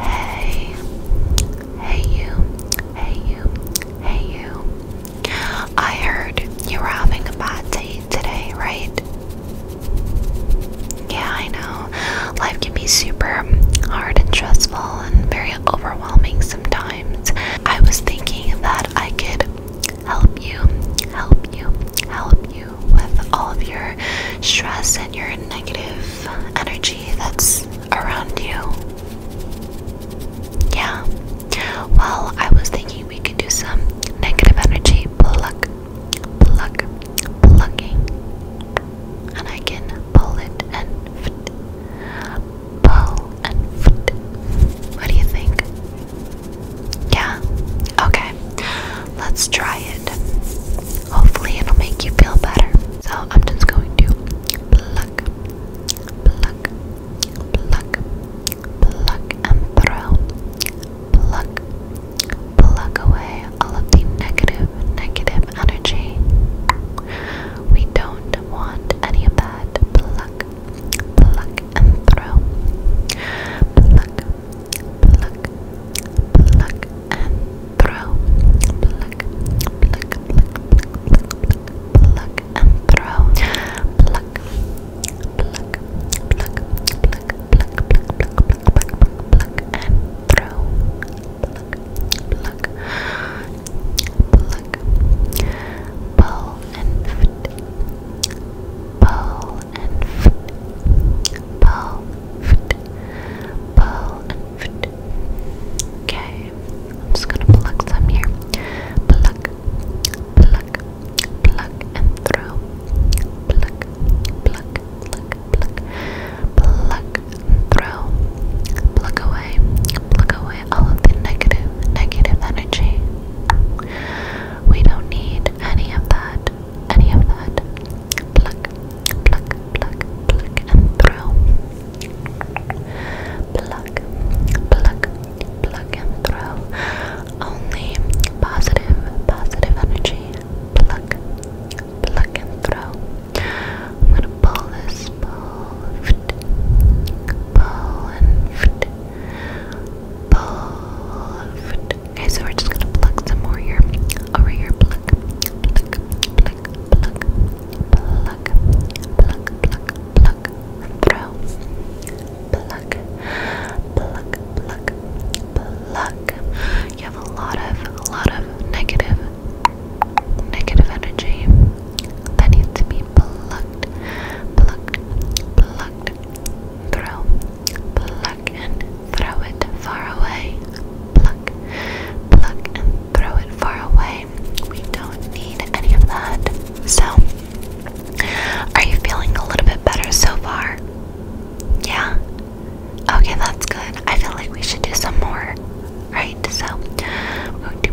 Hey, hey you, hey you, hey you. I heard you were having a bad day today, right? Yeah, I know. Life can be super hard and stressful and very overwhelming sometimes. I was thinking that I could help you, help you, help you with all of your stress and your negative energy that's around you. Yeah. Well, I was thinking we could do some negative energy pluck, pluck, plucking. And I can pull it and Pull and What do you think? Yeah? Okay. Let's try it. Hopefully, it'll make you feel better. So, I'm just going to pluck, pluck, pluck, pluck, and throw. Pluck, pluck away all of the negative, negative energy. We don't want any of that. Pluck, pluck, and throw. Pluck, pluck, pluck and throw. Pluck, pluck, pluck, pluck, pluck, pluck and throw. Pluck, pluck, pluck, pluck, pluck, pluck, pluck, pluck, pluck, pluck and throw. Pluck, pluck, pluck, pull, and foot, ball and foot, ball, foot, ball and foot. Okay, I'm just gonna pluck some here. Pluck, pluck, pluck and throw. Pluck, pluck, pluck, pluck, pluck throw. Pluck away, pluck away all of the negative, negative energy. We don't need any of that, any of that. Pluck, pluck, pluck, pluck, and throw. Pluck, pluck, pluck, and throw. Only positive, positive energy. Pluck, pluck, and throw. I'm gonna pull this, pull, pull, and Okay, so we're just gonna pluck some more here. Over here, pluck, pluck, pluck, pluck, pluck, pluck, pluck, pluck, throw, pluck, pluck, pluck, pluck. You have a lot of, a lot of negative, negative energy that needs to be plucked, plucked, plucked, throw, pluck and throw it far away, pluck, pluck and throw it far away. We don't need any of that. So, are you feeling a little bit better so far? Yeah? Okay, that's good. I feel like we should do some more, right? So, we're going to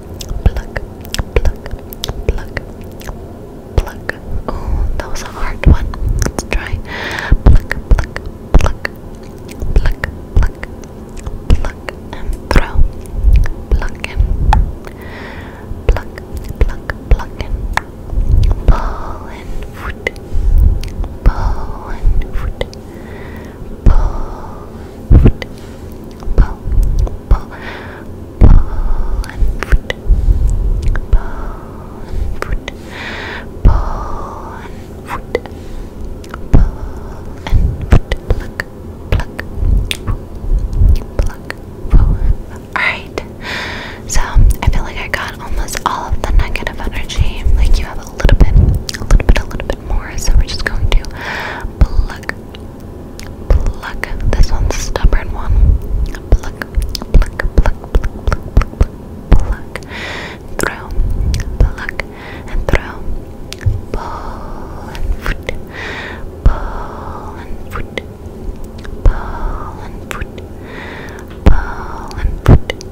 Pluck, pluck, pluck, pluck. Oh, that was a hard one. Let's try. Pluck, pluck, pluck, pluck, pluck, pluck, and throw. Pluck in. Pluck, pluck, pluck Pull and foot. Pull and foot. Pull foot, paw, paw, and foot, paw and foot, paw and foot, paw and foot, pluck, pluck, pluck, paw. Alright, so I feel like I got almost all of the negative energy. Like you have a little bit, a little bit, a little bit more. So we're just going to pluck, pluck this one's stubborn one. Pluck, pluck, pluck, pluck, pluck, pluck, pluck, throw, pluck, and throw, pull and foot, pull and foot, pull and foot, pull and foot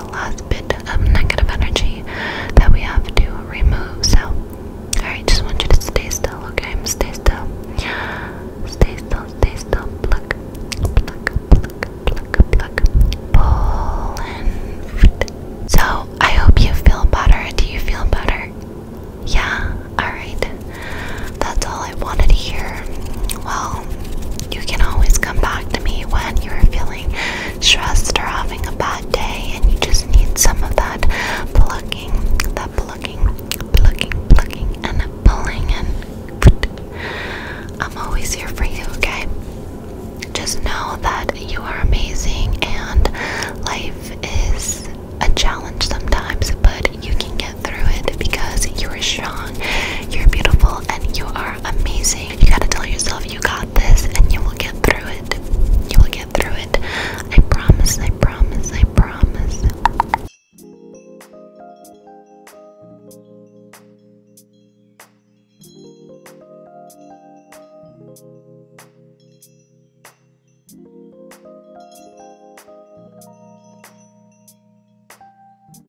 last bit of negative energy that we have to remove. So, alright, just want you to stay still, okay? Stay still. Stay still, stay still. Pluck, pluck, pluck, pluck, pluck. Pull So, I hope you feel better. Do you feel better? Yeah, alright. That's all I wanted to hear. Well, you can always come back to me when you're feeling stressed or having a bad day and you just need some of that plucking, that plucking, plucking, plucking, and pulling. And I'm always here for you, okay? Just know that you are amazing and life is a challenge sometimes, but you can get through it because you are strong, you're beautiful, and you are amazing. You gotta tell yourself you got this and you will get through it. You will get through it. I promise, I promise, I promise.